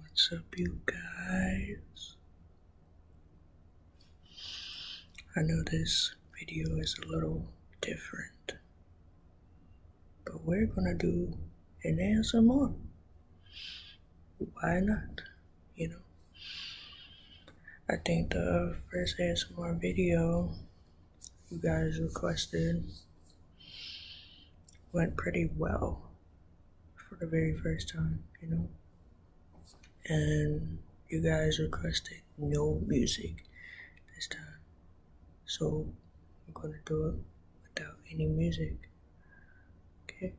What's up, you guys? I know this video is a little different, but we're gonna do an answer more. Why not? You know, I think the first answer more video you guys requested went pretty well for the very first time, you know. And you guys requested no music this time, so I'm gonna do it without any music. Okay.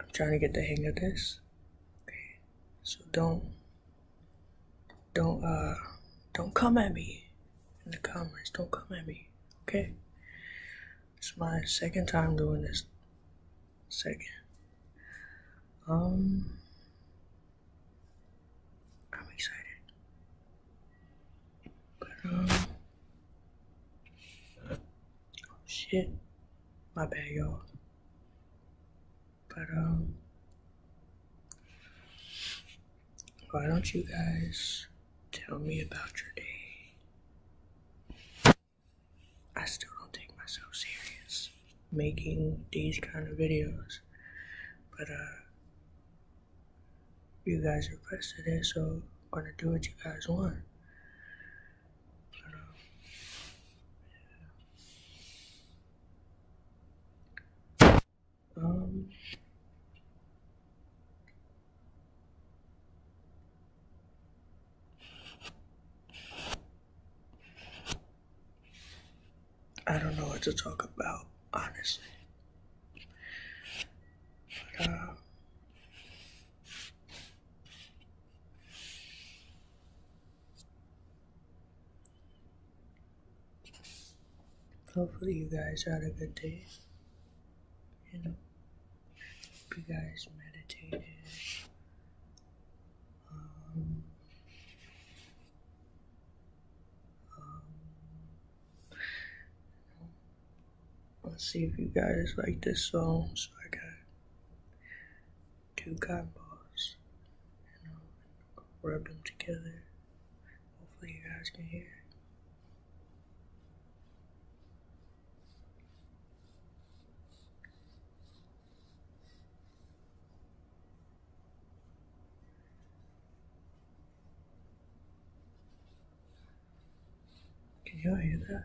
I'm trying to get the hang of this. Okay. So don't, don't, uh, don't come at me in the comments. Don't come at me, okay? It's my second time doing this. Second. Um, I'm excited. But, um, oh shit. My bad, y'all. But, um, why don't you guys tell me about your day? I still don't take myself serious making these kind of videos, but uh, you guys requested it, so I'm gonna do what you guys want. Um, I don't know what to talk about, honestly. But, uh, Hopefully, you guys had a good day. You know, hope you guys meditated. Um, um, let's see if you guys like this song. So I got two combos, you know, rub them together. Hopefully, you guys can hear. Can y'all hear that?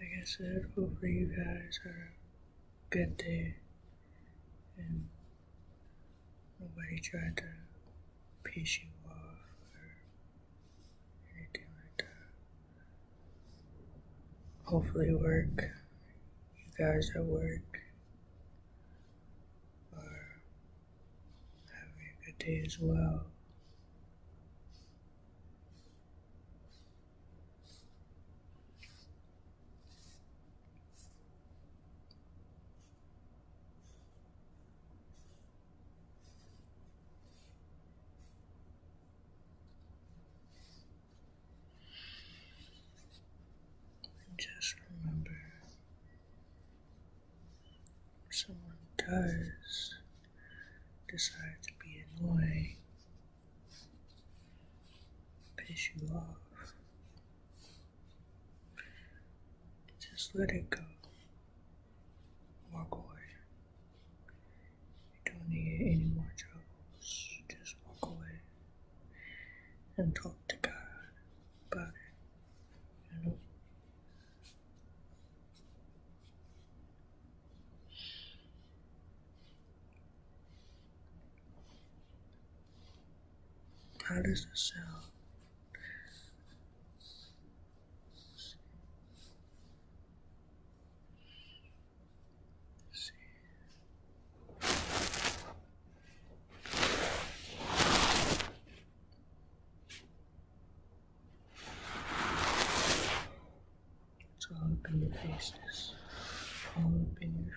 I guess that hopefully you guys are a good day and nobody tried to piss you off or anything like that. Hopefully work, you guys at work are Having a good day as well. Just remember if someone does decide to be annoying, piss you off, just let it go. Walk away. You don't need any more troubles. Just walk away and talk to God about it. How does it sound? It's all up in your faces. All up in your faces.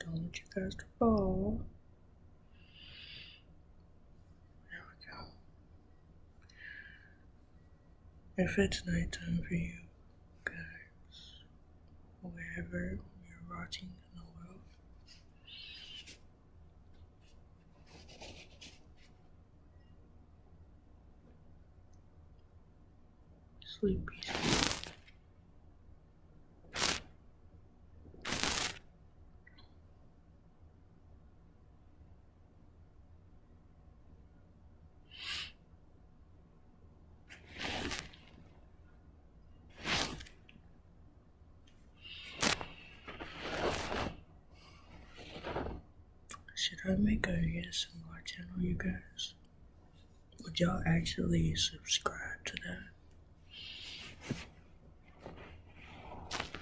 Don't you guys fall. There we go. If it's nighttime for you guys, wherever you're watching in the world, sleep should I make a guess and watch channel, you guys? Would y'all actually subscribe to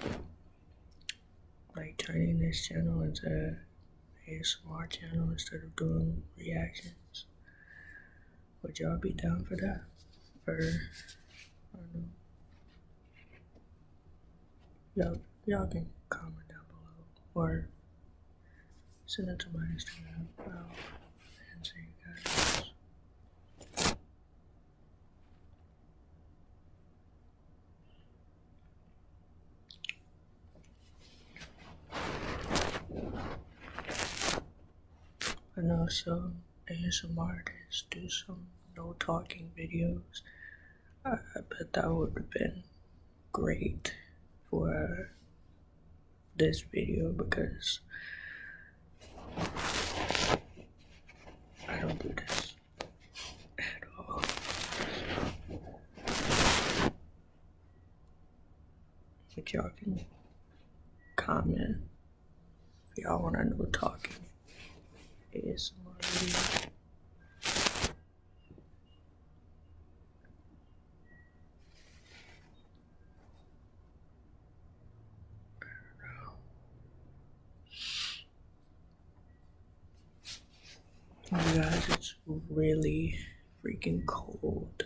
that? Like turning this channel into a smart channel instead of doing reactions. Would y'all be down for that? For I don't know. Y'all, y'all can comment down below or send it to my Instagram into goes. I know some artists do some no talking videos. I, I bet that would have been great for this video because I don't do this at all. But y'all can comment if y'all want to know talking ASMR video. Oh Guys, it's really freaking cold.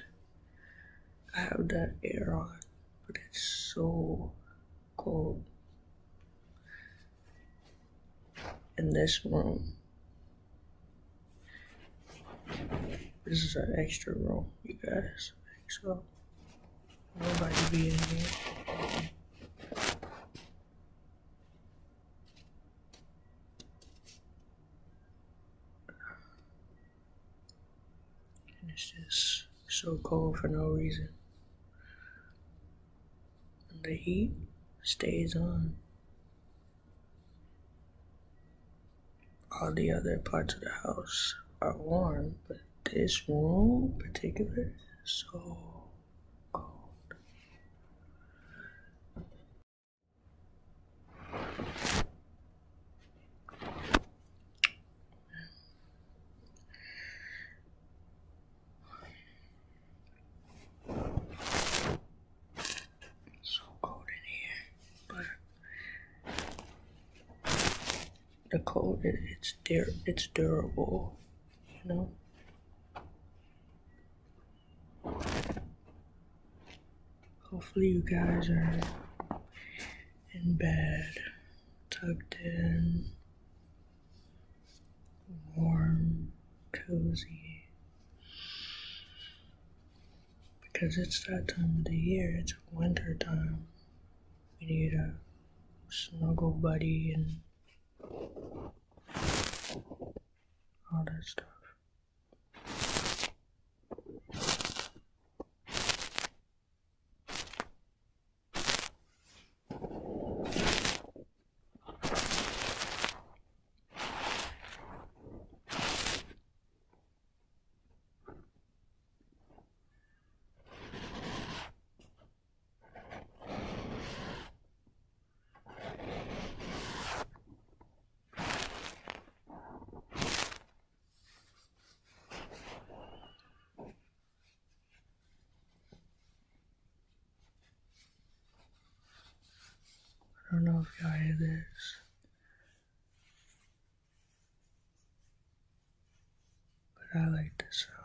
I have that air on, but it's so cold. In this room, this is an extra room, you guys. So Nobody be in here. it's just so cold for no reason. And the heat stays on. All the other parts of the house are warm, but this room in particular is so cold so cold in here, but the cold it's dur it's durable, you know. Hopefully you guys are in bed, tucked in, warm, cozy because it's that time of the year, it's winter time. We need a snuggle buddy and all that stuff. I don't know if y'all hear this. But I like the sound.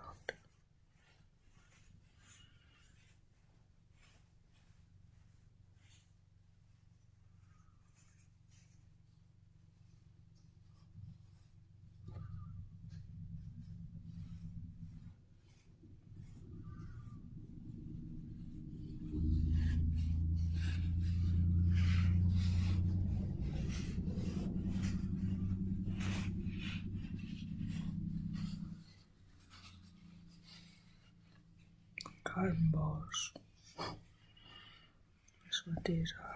Carbon balls. That's what these are.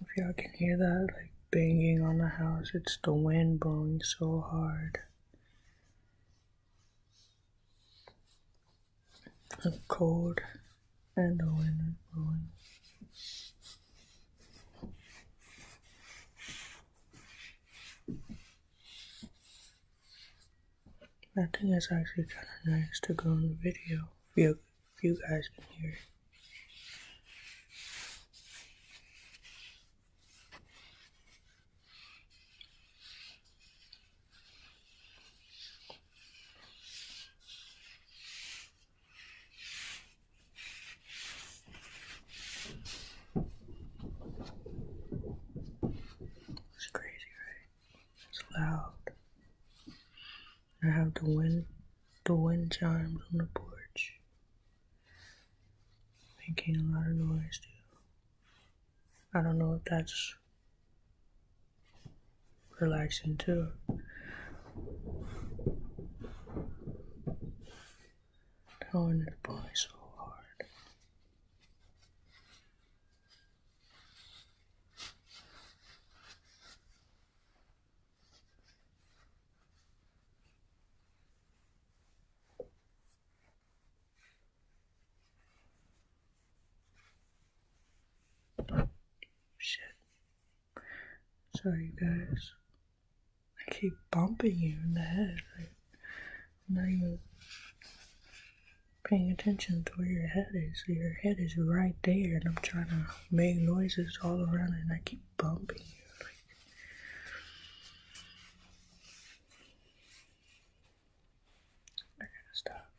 If y'all can hear that, like banging on the house, it's the wind blowing so hard. i cold and the wind is I think it's actually kind of nice to go on the video you, if you guys can hear it. It's crazy, right? It's loud. I have the wind, the wind chimes on the porch, making a lot of noise too. I don't know if that's relaxing too. I do to pull so hard. Shit. Sorry, guys. I keep bumping you in the head. Like, I'm not even paying attention to where your head is. Your head is right there, and I'm trying to make noises all around and I keep bumping you. I gotta stop.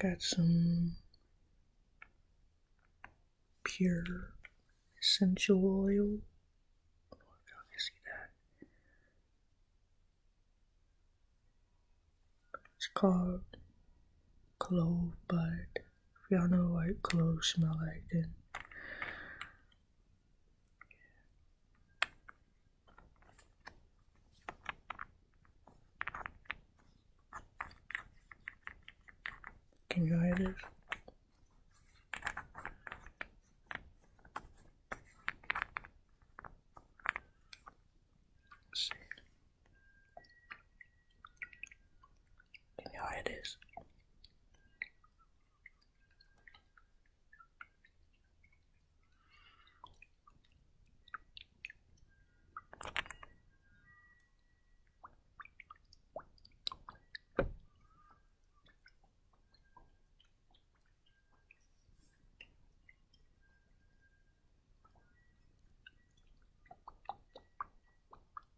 Got some pure essential oil. Oh, God, I see that. It's called clove, but if y'all know what cloves smell like, then Can you hear this? Yeah, it is.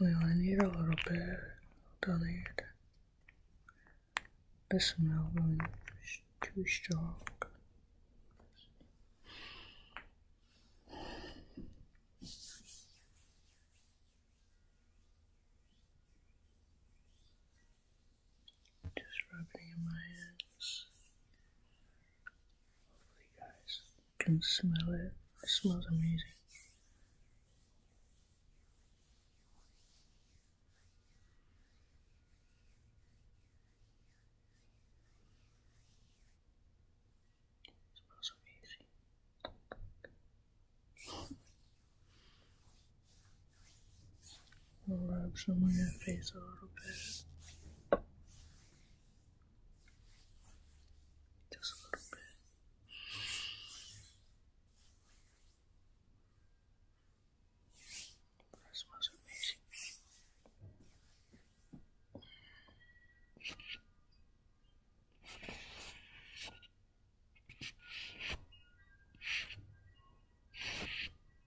We only need a little bit, don't need the smell really is too strong. Just rubbing in my hands. Hopefully, guys can smell it. It smells amazing. It smells amazing rub some on your face a little bit. Just a little bit. That smells amazing.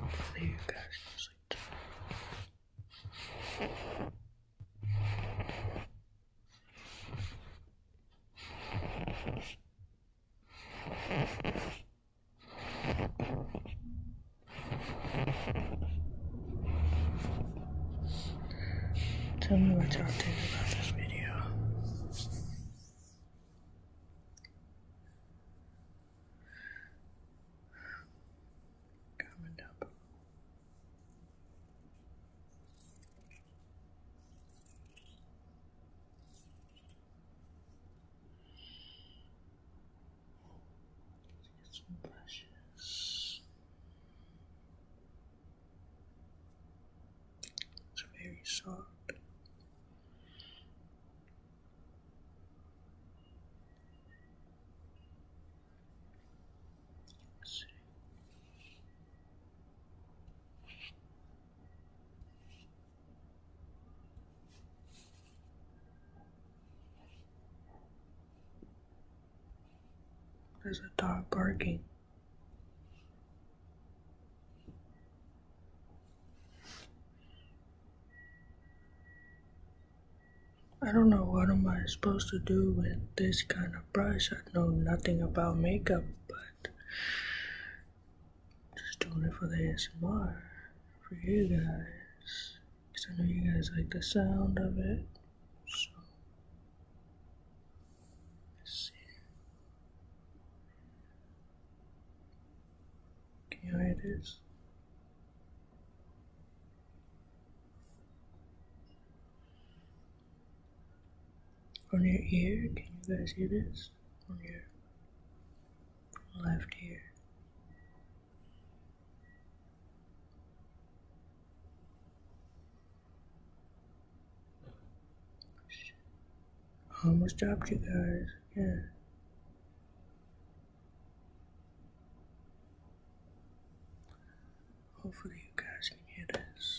Hopefully you guys sleep Tell me what y'all think about this video coming up. Let's get some brushes. It's very soft. see. There's a dog barking. I don't know what am I supposed to do with this kind of brush. I know nothing about makeup, but just doing it for the ASMR for you guys. Cause I know you guys like the sound of it. So can you hear this? On your ear, can you guys hear this? On your left ear. I almost dropped you guys. Yeah. Hopefully you guys can hear this.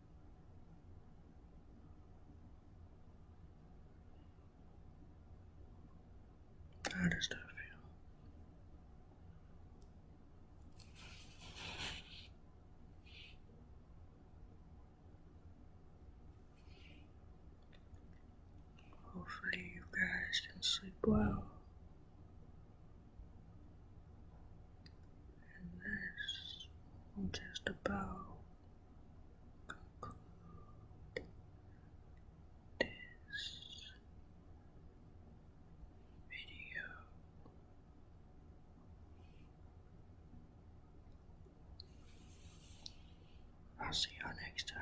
How does that feel? Hopefully, you guys can sleep well and this will just about conclude this video. I'll see y'all next time.